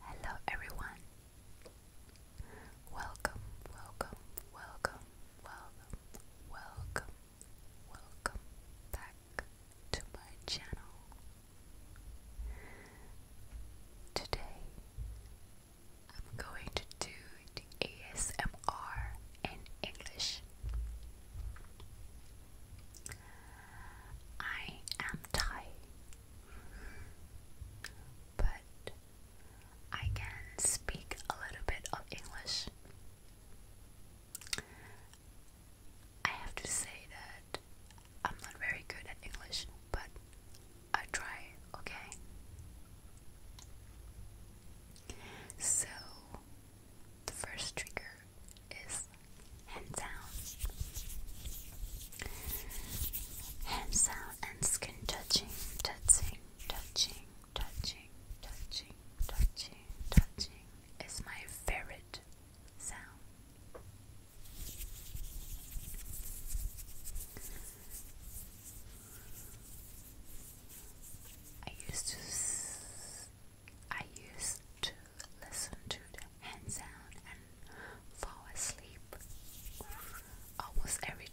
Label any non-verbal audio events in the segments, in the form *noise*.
Hello everyone. Welcome, welcome, welcome, welcome, welcome, welcome back to my channel. Today I'm going to do ASMR in English. I am tired, but I can speak a little bit of English. I have to say that I'm not very good at English, but I try, okay? So, the first trigger is hand down. Hand down and skin touching, touching, touching, touching, touching, touching, touching is my favorite sound. I used to I used to listen to the hand sound and fall asleep almost every day.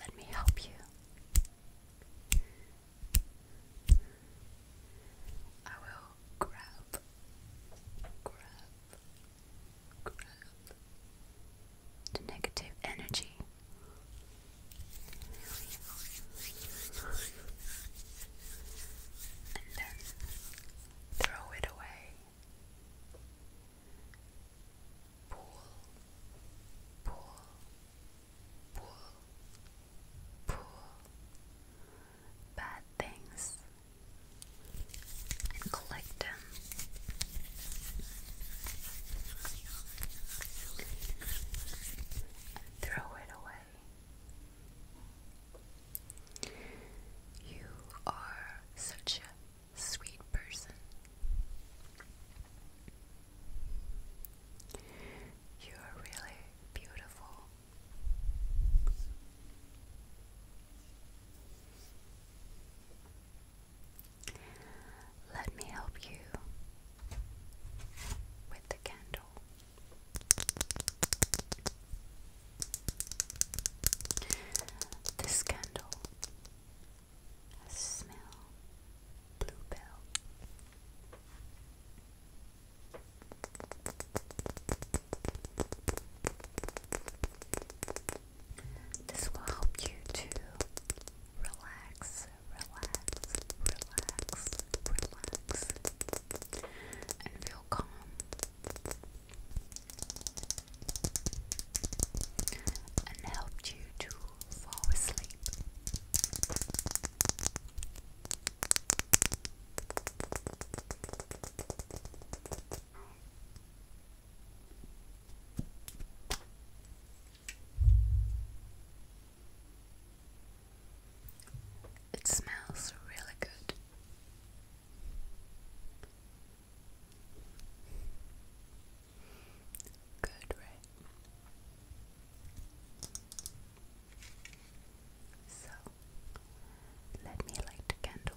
Let me help you. I will grab, grab, grab, negative energy. And then throw it away. Pull, pull, pull, pull. Bad things collect them. And throw it away. You are such a sweet person. You are really beautiful. Let me help you with the candle. This candle has bluebell. This will help you to relax, relax, relax, relax, and feel calm. And helped you to fall asleep. It smells really good. Good, right? So let me light the candle.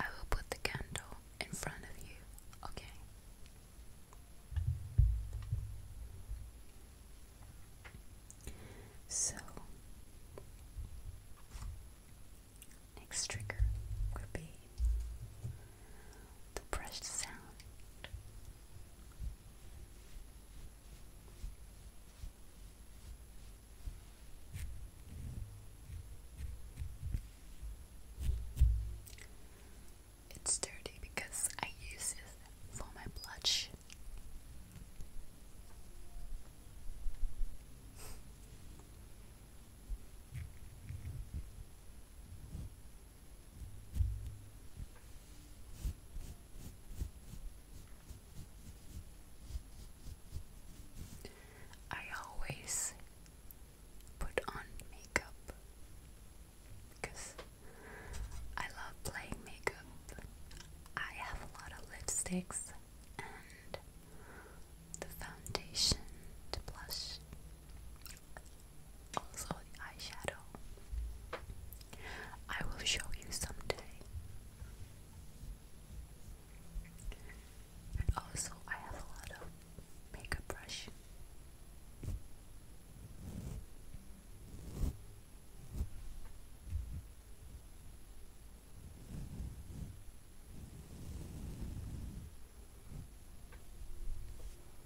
I will put the candle in front of you, okay? So, next trigger would be the brush sound. It's dirty because I use it for my blush. I always put on makeup because I love playing makeup. I have a lot of lipsticks and the foundation, the blush, also eyeshadow. I will show you someday. And also I have a lot of makeup brush.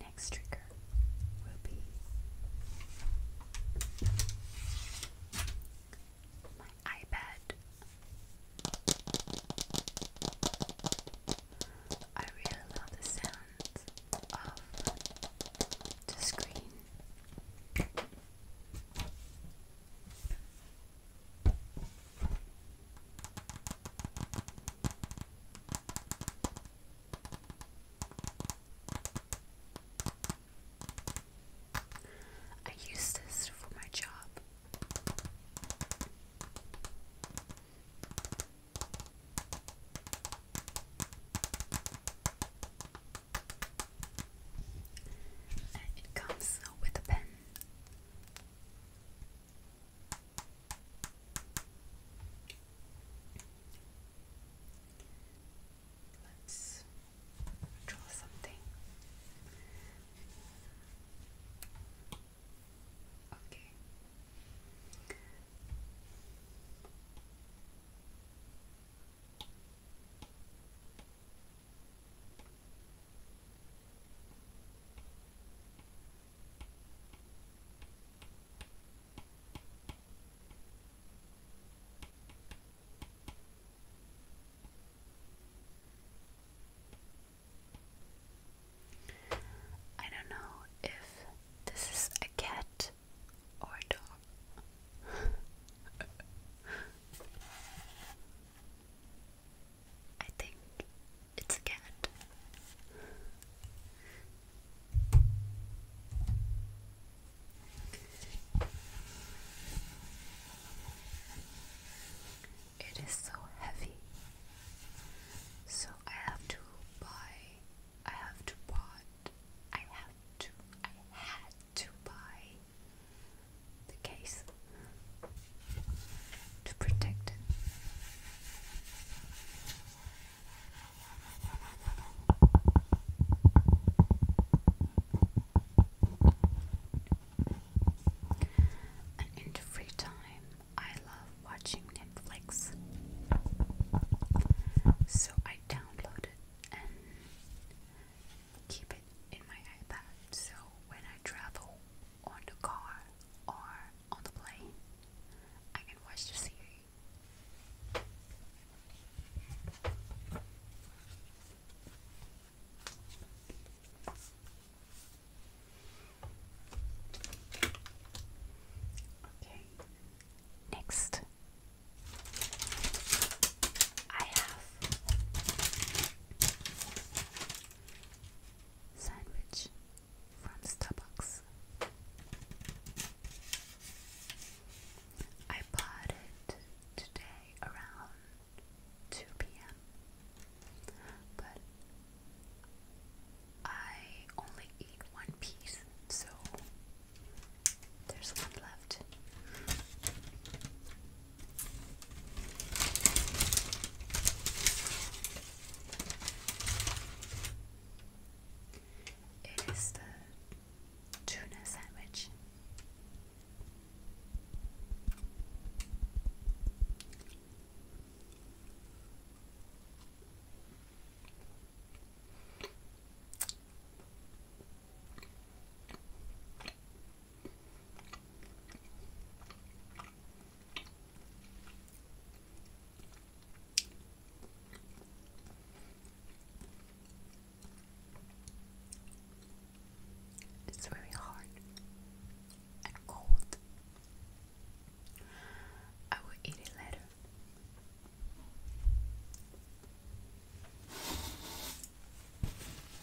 Next trigger will be my iPad. I really love the sound of the screen. I use this for my job. it comes with a pen. Let's draw something. Okay. I don't know if this is a cat or a dog. *laughs* I think it's a cat. It is so heavy. So I have to buy I have to bought I have to I had to buy the case to protect And in free time, I love watching Netflix. So I download and keep it in my iPad so when I travel on the car or on the plane, I can watch the series. Okay, next I have sandwich from Starbucks. I bought it today around 2 p.m. But I only eat one piece, so there's one left. It is the tuna sandwich. It's very hard and cold. I will eat it later.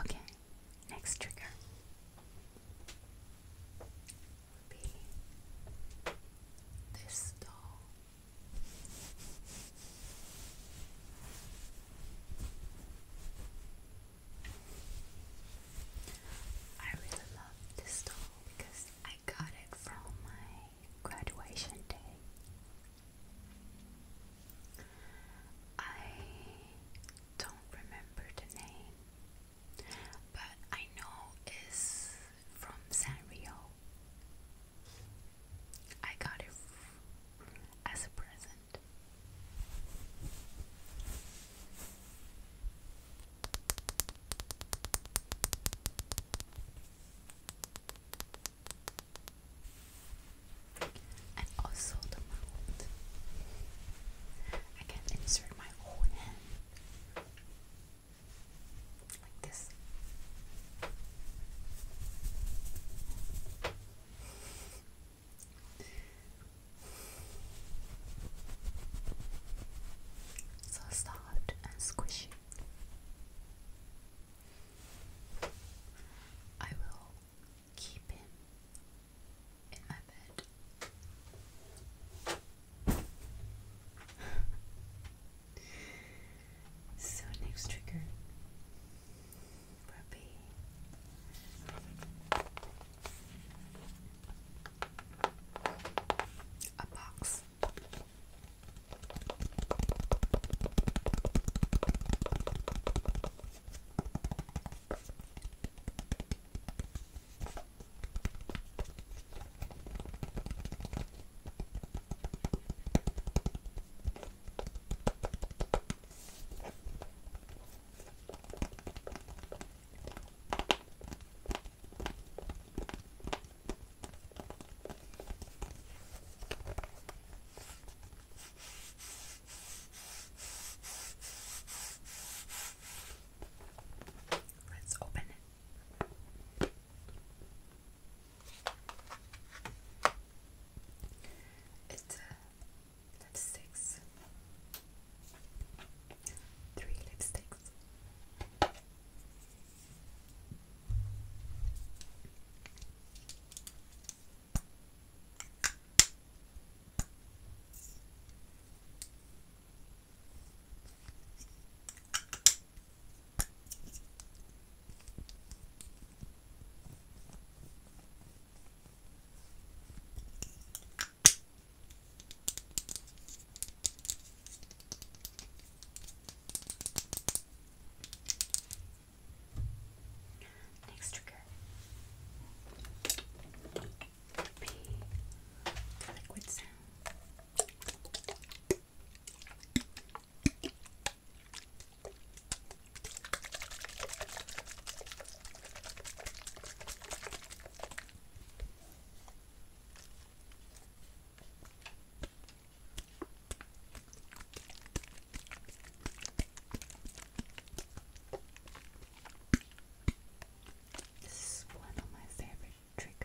Okay, next trigger would be this doll. I really love this doll because I got it from my graduation day. I don't remember the name, but I know it's from Sanrio. I got it as a present. And also the mouth. I can insert my own hand like this. So soft and squishy. I will keep him in my bed so next trigger will be a box. Let's open it. It uh, three lipsticks. Next trigger would be the liquid sound. This is one of my favorite Trick.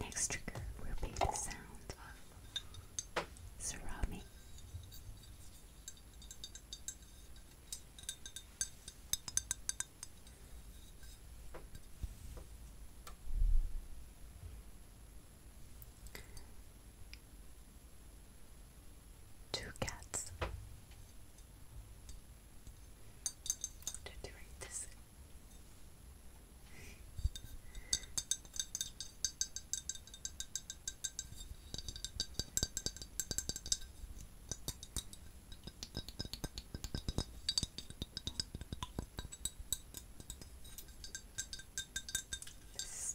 Next trigger will the sound of ceramic. Two cats. They're doing this this is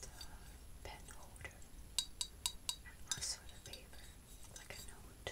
the pen holder and also the paper, like a note.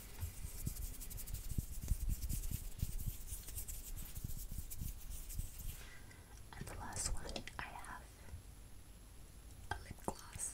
And the last one I have a lip gloss.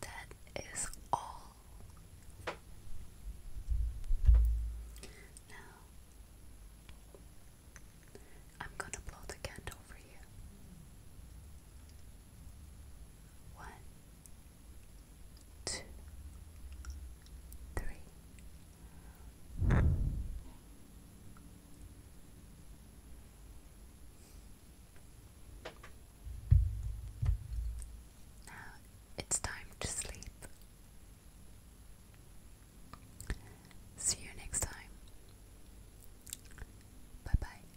That is all. Now, I'm going to blow the candle for you. One, two, three. Now it's time to sleep. See you next time. Bye bye.